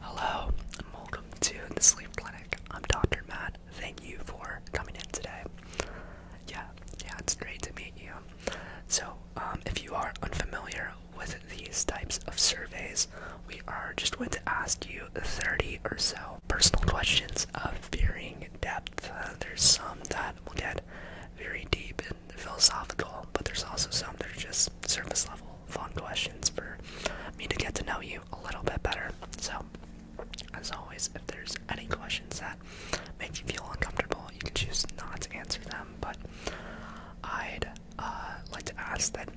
Hello and welcome to the Sleep Clinic. I'm Dr. Matt. Thank you for coming in today. Yeah, yeah, it's great to meet you. So, um, if you are unfamiliar with these types of surveys, we are just going to ask you 30 or so personal questions of varying depth. Uh, there's some that will get very deep and philosophical, but there's also some that are just surface level fun questions for me to get to know you a little bit better. So, as always, if there's any questions that make you feel uncomfortable, you can choose not to answer them. But I'd uh, like to ask that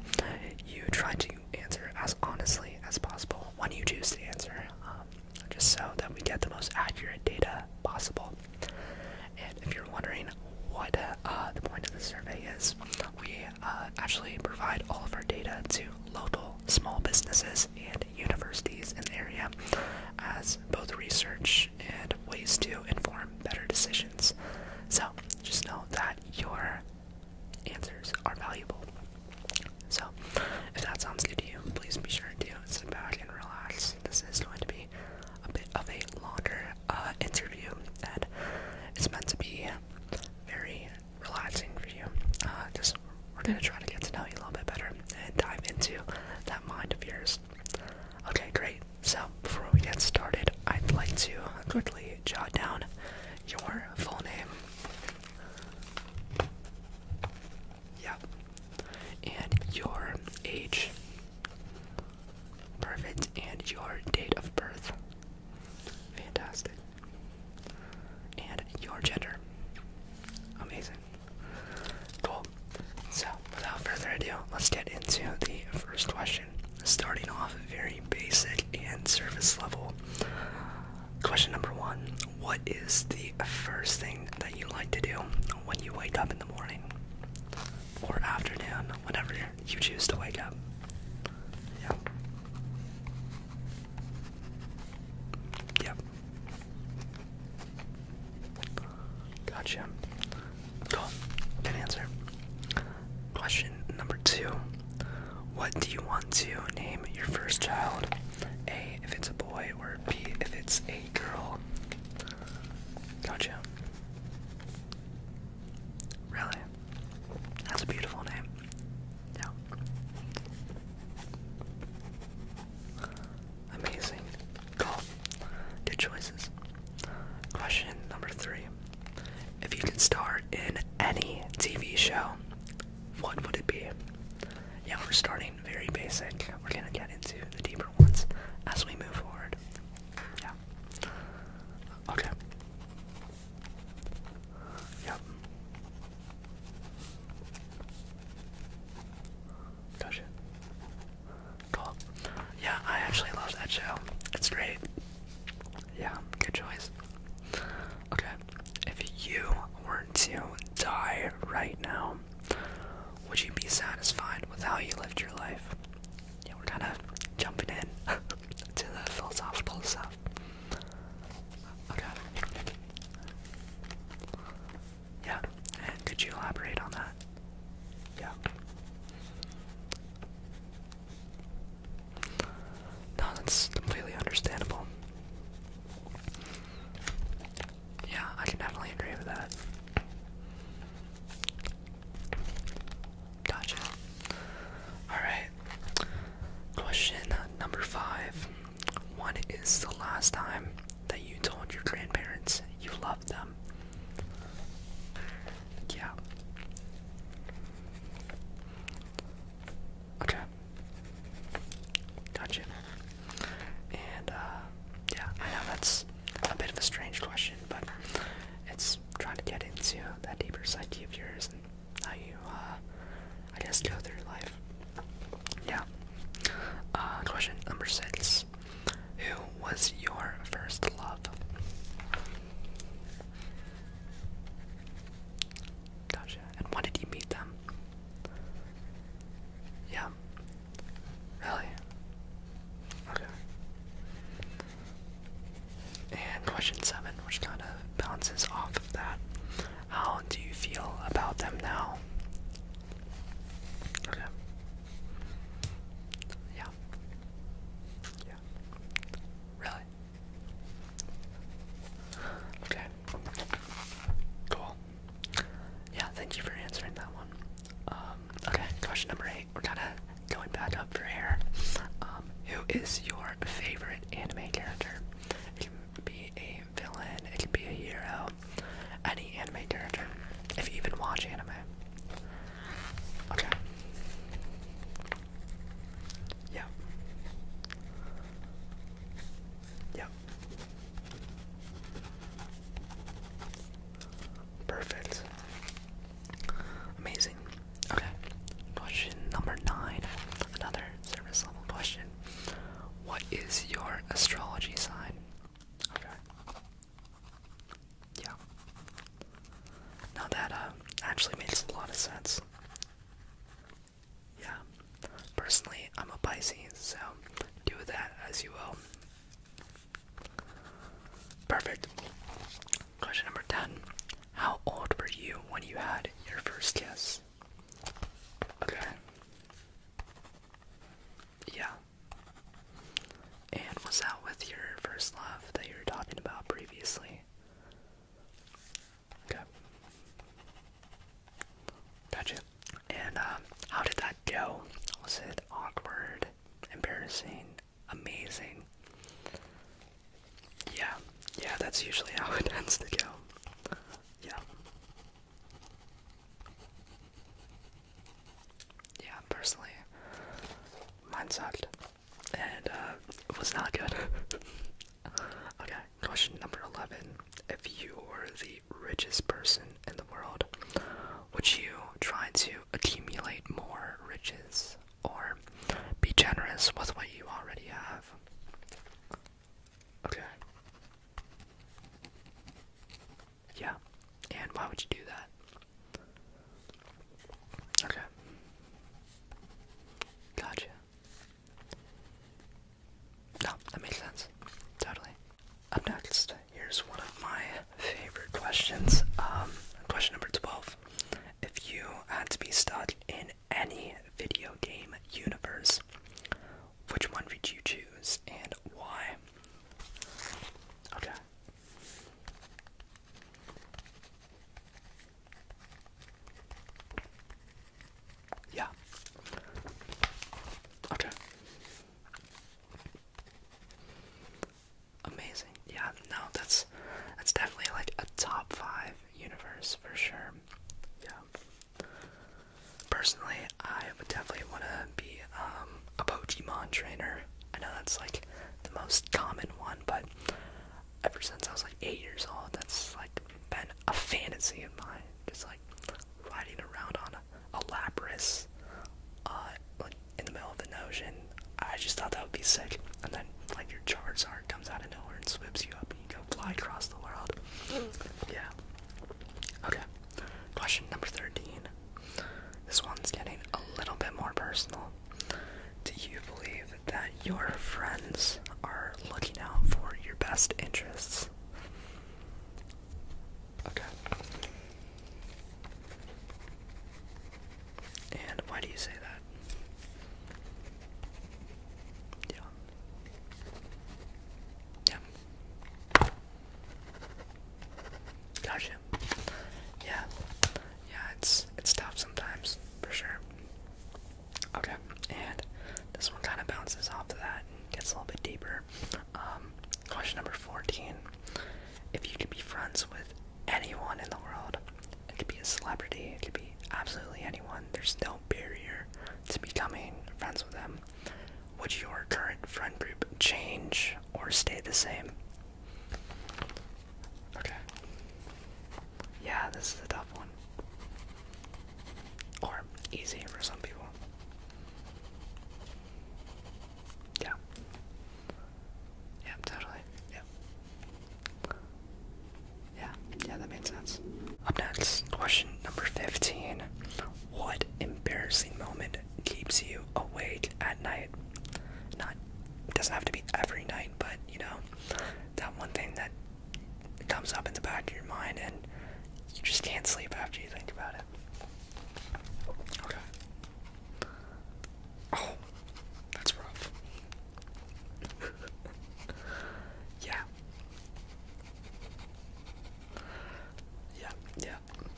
you try to answer as honestly as possible when you choose to answer, um, just so that we get the most accurate data possible. And if you're wondering what uh, the point of the survey is we uh, actually provide all of our data to local small businesses and universities in the area as both research and ways to inform better decisions. So just know that your answers are valuable. So if that sounds good to you, please be sure to sit back and relax. This is going to be a bit of a longer uh, interview that is meant to be very relaxing for you. Uh, just we're gonna try to get to know you a little bit better and dive into that mind of yours. Okay, great. So before we get started, I'd like to quickly jot down your full name. Yep. And your age. Perfect. And your date of birth. Fantastic. And your gender. Amazing. Cool. So, without further ado, let's get into the first question. Starting off very basic and surface level. Question number one What is the first thing that you like to do when you wake up in the morning or afternoon, whenever you choose to wake up. Yep. Yep. Gotcha. Cool. Good answer. Question number two. What do you want to name your first child? A, if it's a boy, or B, if it's a girl? Gotcha. Really? That's a beautiful name. Yeah. Amazing. Cool. Good choices. Question number three. If you could star in any TV show, what would it be? Yeah, we're starting very basic. We're gonna get into the deeper ones as we move forward. Yeah. Okay. Yep. Gotcha. Cool. Yeah, I actually love that show. It's great. Yeah, good choice. Okay, if you were to die right now, would you be satisfied with how you lived your life? yeah, we're kind of jumping in to the philosophical stuff. Okay. Yeah, and could you elaborate on that? Yeah. No, that's completely understandable. Yeah, I can definitely agree with that. Gotcha. Alright. Question number five. When is the last time that you told your grandparents you love them? Yeah. Okay. Gotcha. And, uh, yeah, I know that's a bit of a strange question, but it's trying to get into that deeper side of yours and how you, uh, I guess, go through life. Yeah. Uh, question number six Who was your first love? Gotcha. And when did you meet them? Yeah. Really? Okay. And question seven, which kind of bounces off of that. How do you feel about them now? Okay. Yeah. Yeah. Really? Okay. Cool yeah, thank you for answering that one. Um, okay, question number eight. We're kind of going back up for air. Um, who is your favorite anime character? It can be a villain, it can be a hero, any anime character, if you even watch anime. Okay. Yep. Yep. Perfect. Amazing. Okay. Question number nine. Another service level question. What is your astrology sign? Okay. Yeah. Now that uh, actually makes a lot of sense. Yeah. Personally, I'm a Pisces, so do that as you will. Perfect. Question number 10. How old were you when you had your first kiss? Okay. Yeah. And was that with your first love that you were talking about previously? Okay. Gotcha. And um, how did that go? Was it awkward, embarrassing, amazing? Yeah, yeah, that's usually how it tends to go. Yeah. Yeah, personally, mine sucked. And uh, it was not good. okay, question number 11 if you were the richest person in the world, would you try to accumulate more riches or be generous with what you already have? Okay. Yeah. And why would you do that? Okay. Gotcha. No, that makes sense. Totally. Up next, here's one of my favorite questions. Um, question number 12. If you had to be stuck in any video game universe, which one would you choose and why? Okay. Yeah. Okay. Amazing. Yeah, no, that's that's definitely like a top five universe for sure. Yeah. Personally, I would definitely want to be um, a Pokemon trainer. I know that's like the most common one, but ever since I was like eight years old, that's like been a fantasy of mine. Just like riding around on on uh, like in the middle of an ocean. I just thought that would be sick. And then like your Charizard comes out of nowhere and swoops you up and you go fly across the world. Mm. Yeah. Okay. Question number 13. This one's getting a little bit more personal. Do you believe that your friends are looking out for your best interests? Okay. And why do you say that? Yeah. Yeah. Gotcha. Yeah. Yeah, it's it's tough sometimes, for sure. Okay, and this one kind of bounces off of that and gets a little bit deeper. Um, question number 14. If you could be friends with anyone in the world, it could be a celebrity, it could be absolutely anyone, there's no barrier to becoming friends with them, would your current friend group change or stay the same? Okay. Yeah, this is a tough one. Or easy for some people. Yeah. Yeah, totally. Yeah. Yeah, yeah, that made sense. Up next, question number 15. What embarrassing moment keeps you awake at night? Not, doesn't have to be every night, but you know, that one thing that it comes up in the back of your mind and you just can't sleep after you think about it. Okay. Oh, that's rough. yeah. Yeah, yeah.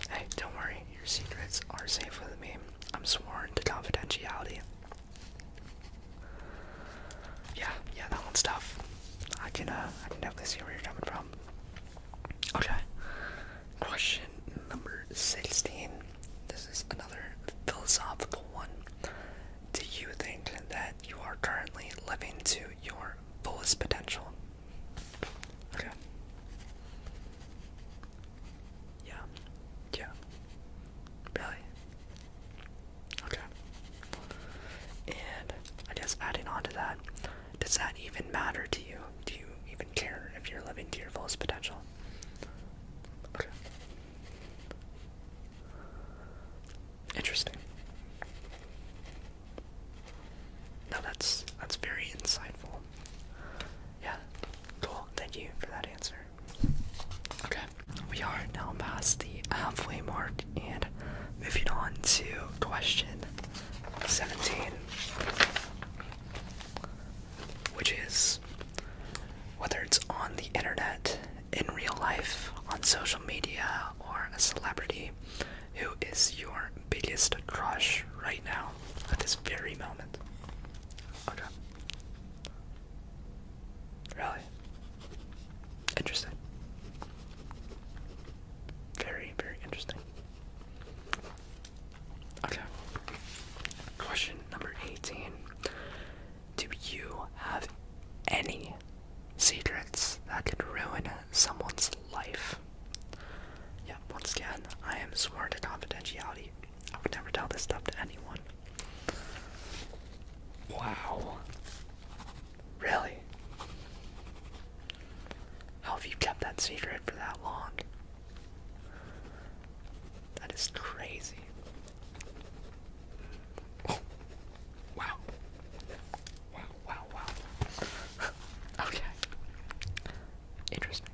Hey, don't worry. Your secrets are safe with me. I'm sworn to confidentiality. Yeah, yeah, that one's tough. I can, uh, I can definitely see where you're coming from. Okay. Question number 16. This is another philosophical one. Do you think that you are currently living to your fullest potential? Okay. Yeah. Yeah. Really? Okay. And I guess adding on that, does that even matter to you? Do you even care if you're living to your fullest potential? Okay. Interesting. No, that's that's very insightful. Yeah. Cool. Thank you for that answer. Okay we are now past the halfway mark and moving on to question 17, which is whether it's on the internet, in real life, on social media, or a celebrity, who is your biggest crush right now at this very moment? Okay. Really? Interesting. Very, very interesting. Okay. Question number 18. Do you have any secrets that could ruin someone's life? Yeah, once again, I am sworn to confidentiality. I would never tell this stuff to anyone. Wow. Really? How have you kept that secret for that long? That is crazy. Wow. Wow, wow, wow. okay. Interesting.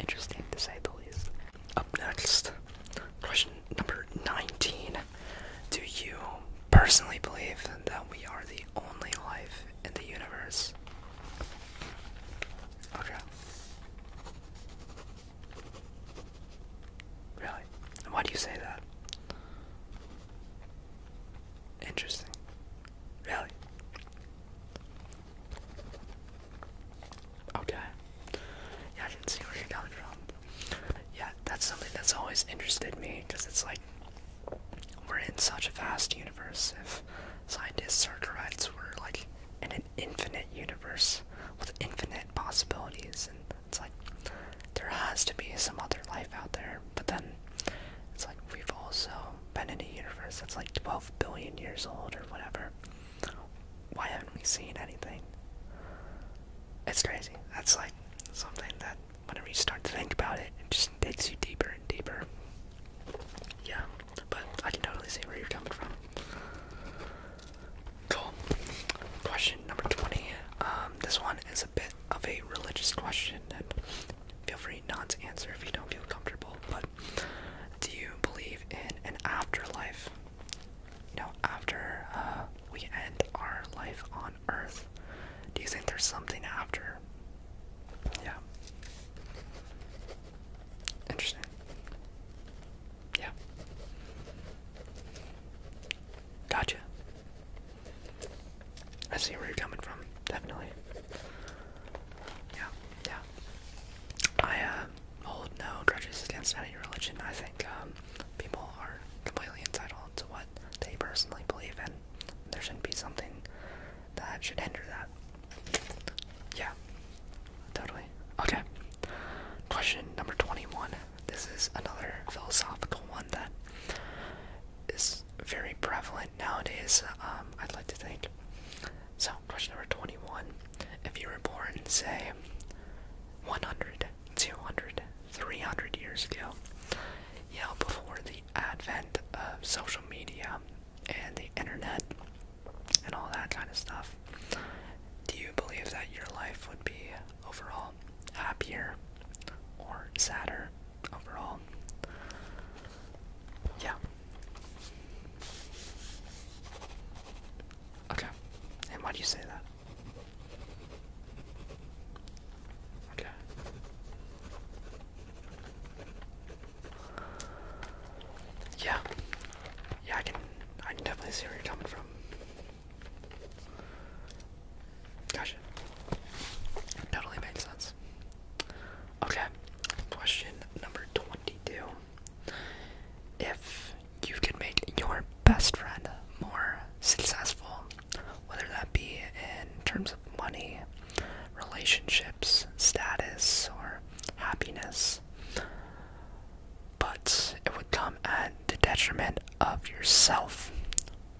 Interesting to say the least. Up next, question number 19. Do you personally believe that we are the only life in the universe? Okay. Really? why do you say that? Interesting. Really? Okay. Yeah, I did see where you're coming from. Yeah, that's something that's always interested me because it's like we're in such a vast universe. If scientists are correct, we're like in an infinite universe with infinite possibilities, and it's like there has to be some other life out there. But then it's like we've also been in a universe that's like 12 billion years old or whatever. Why haven't we seen anything? It's crazy. That's like something that whenever you start to think about it, it just takes you deeper and deeper. Yeah, but I can totally see where you're coming from. Cool. Question number 20. Um, this one is a bit of a religious question, and feel free not to answer if you don't feel comfortable, but do you believe in an afterlife? You after uh, we end our life on Earth, do you think there's something after? Yeah. Interesting. Yeah. Gotcha. I see where you're coming from, definitely. Yeah, yeah. I uh, hold no grudges against any religion. I think um, people are completely entitled to what they personally believe in. There shouldn't be something that should hinder that. Yeah, totally. Okay, question number 21. This is another philosophical one that is very prevalent nowadays, um, I'd like to think. So, question number 21 if you were born, say, 100, 200, 300 years ago, you know, before the advent of social media and the internet and all that kind of stuff, do you believe that your life would be overall happier or sadder overall? Yeah. Okay. And why do you say that? Okay. Yeah. Yeah, I can I can definitely see where you're coming from. Gosh, it Totally makes sense. Okay. Question number twenty-two. If you could make your best friend more successful, whether that be in terms of money, relationships, status, or happiness, but it would come at the detriment of yourself,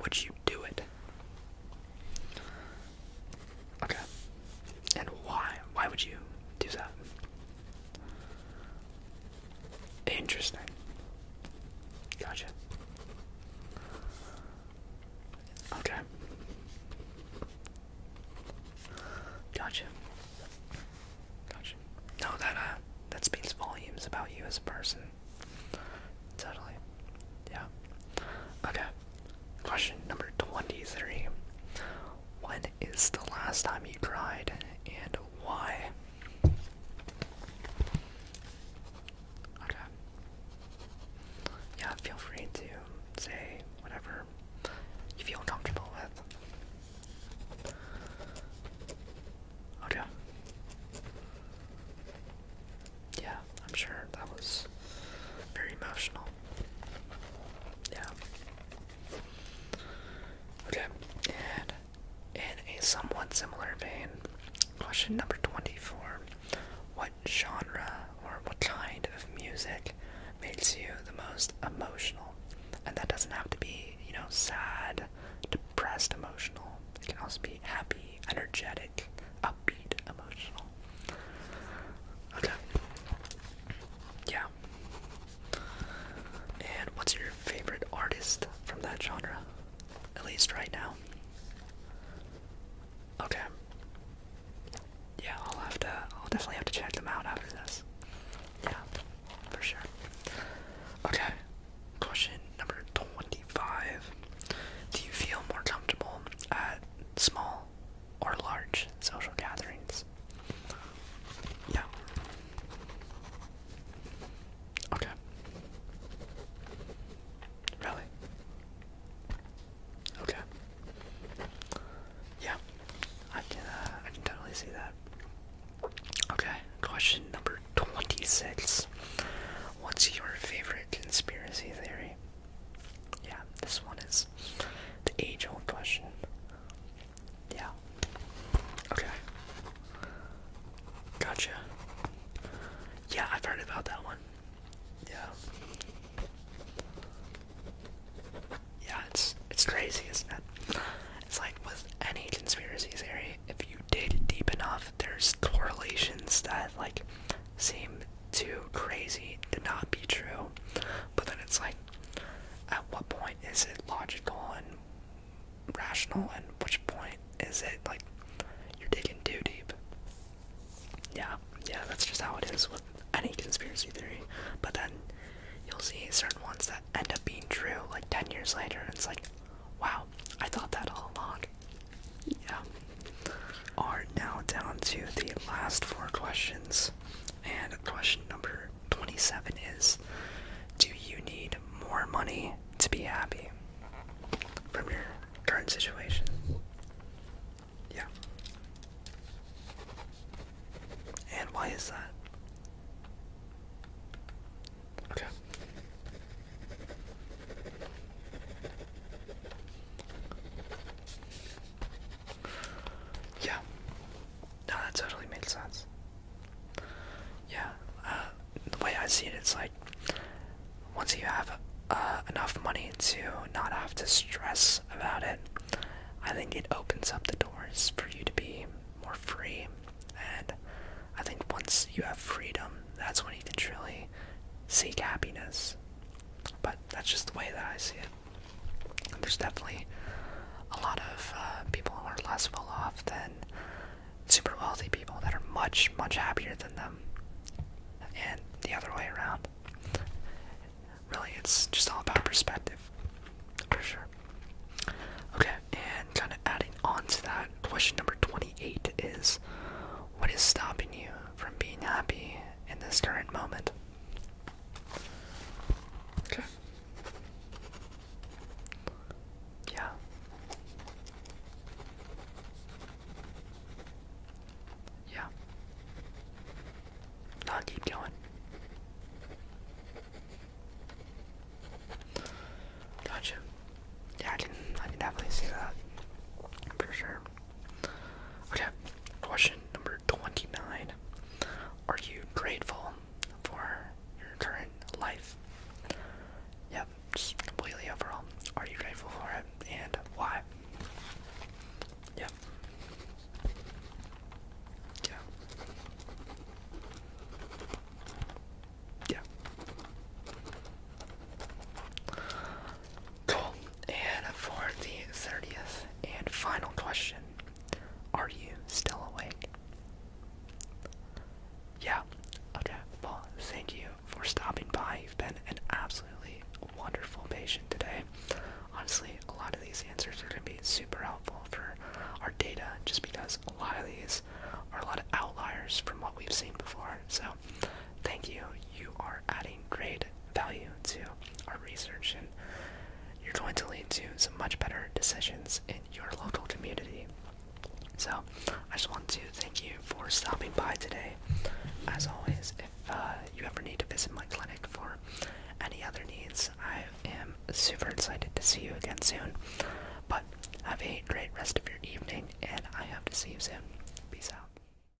would you do it? Okay. And why? Why would you do that? Interesting. Gotcha. Okay. Gotcha. Gotcha. No, that uh, that speaks volumes about you as a person. Totally. Yeah. Okay. Question number twenty-three. When is the last time you cried and why? Okay. Yeah, feel free to say whatever you feel comfortable with. Okay. Yeah, I'm sure that was very emotional. Yeah. Okay, and in a somewhat similar vein, question number 24 What genre or what kind of music makes you the most emotional? And that doesn't have to be, you know, sad, depressed, emotional. It can also be happy, energetic, upbeat, emotional. Okay. Yeah. And what's your favorite artist from that genre? At least right now. Okay. Yeah, I'll have to I'll definitely have to check them out after this. Yeah, for sure. Okay. Question number 25. Do you feel more comfortable at small or large social gatherings. Yeah. Okay. Really? Okay. Yeah, I can uh, I can totally see that. Okay, question number twenty-six. What's your favorite conspiracy theory? Yeah, this one is the age-old question. Yeah. Okay. Gotcha. Yeah, I've heard about that one. Yeah. Yeah, it's it's crazy, isn't it? It's like with any conspiracy theory, if you dig deep enough, there's correlations that like seem too crazy to not be true. But then it's like at what point is it logical and rational, and which point is it like you're digging too deep? Yeah, yeah, that's just how it is with any conspiracy theory. But then you'll see certain ones that end up being true like 10 years later, and it's like, wow, I thought that all along. Yeah. are now down to the last four questions. And question number 27 is Do you need more money to be happy from your current situation? Yeah. And why is that? Okay. Yeah. No, that totally makes sense. Yeah. Uh, the way I see it, it's like once you have uh, enough money to not have to stress about it, I think it opens up the doors for you to be more free. And I think once you have freedom, that's when you can truly seek happiness. But that's just the way that I see it. There's definitely a lot of uh, people who are less well off than super wealthy people that are much, much happier than them. And the other way around. Really, it's just all about perspective, for sure. Okay, and kind of adding on to that, question number 28 is What is stopping you from being happy in this current moment? Okay. Yeah. Yeah. I'll keep going. Gotcha. Yeah, I didn't I didn't definitely see that. For sure. Okay, question number 29. Are you grateful for your current life? Yep, just completely overall. Are you grateful for it and why? Yep. Yeah. Yeah. Cool. And for the 30th and final question, are you still awake? Yeah, okay. Well, thank you for stopping by. You've been an absolutely wonderful patient today. Honestly, a lot of these answers are going to be super helpful for our data just because a lot of these are a lot of outliers from what we've seen before. So, Thank you. You are adding great value to our research, and you're going to lead to some much better decisions in your local community. So, I just want to thank you for stopping by today. As always, if uh, you ever need to visit my clinic for any other needs, I am super excited to see you again soon. But have a great rest of your evening, and I hope to see you soon. Peace out.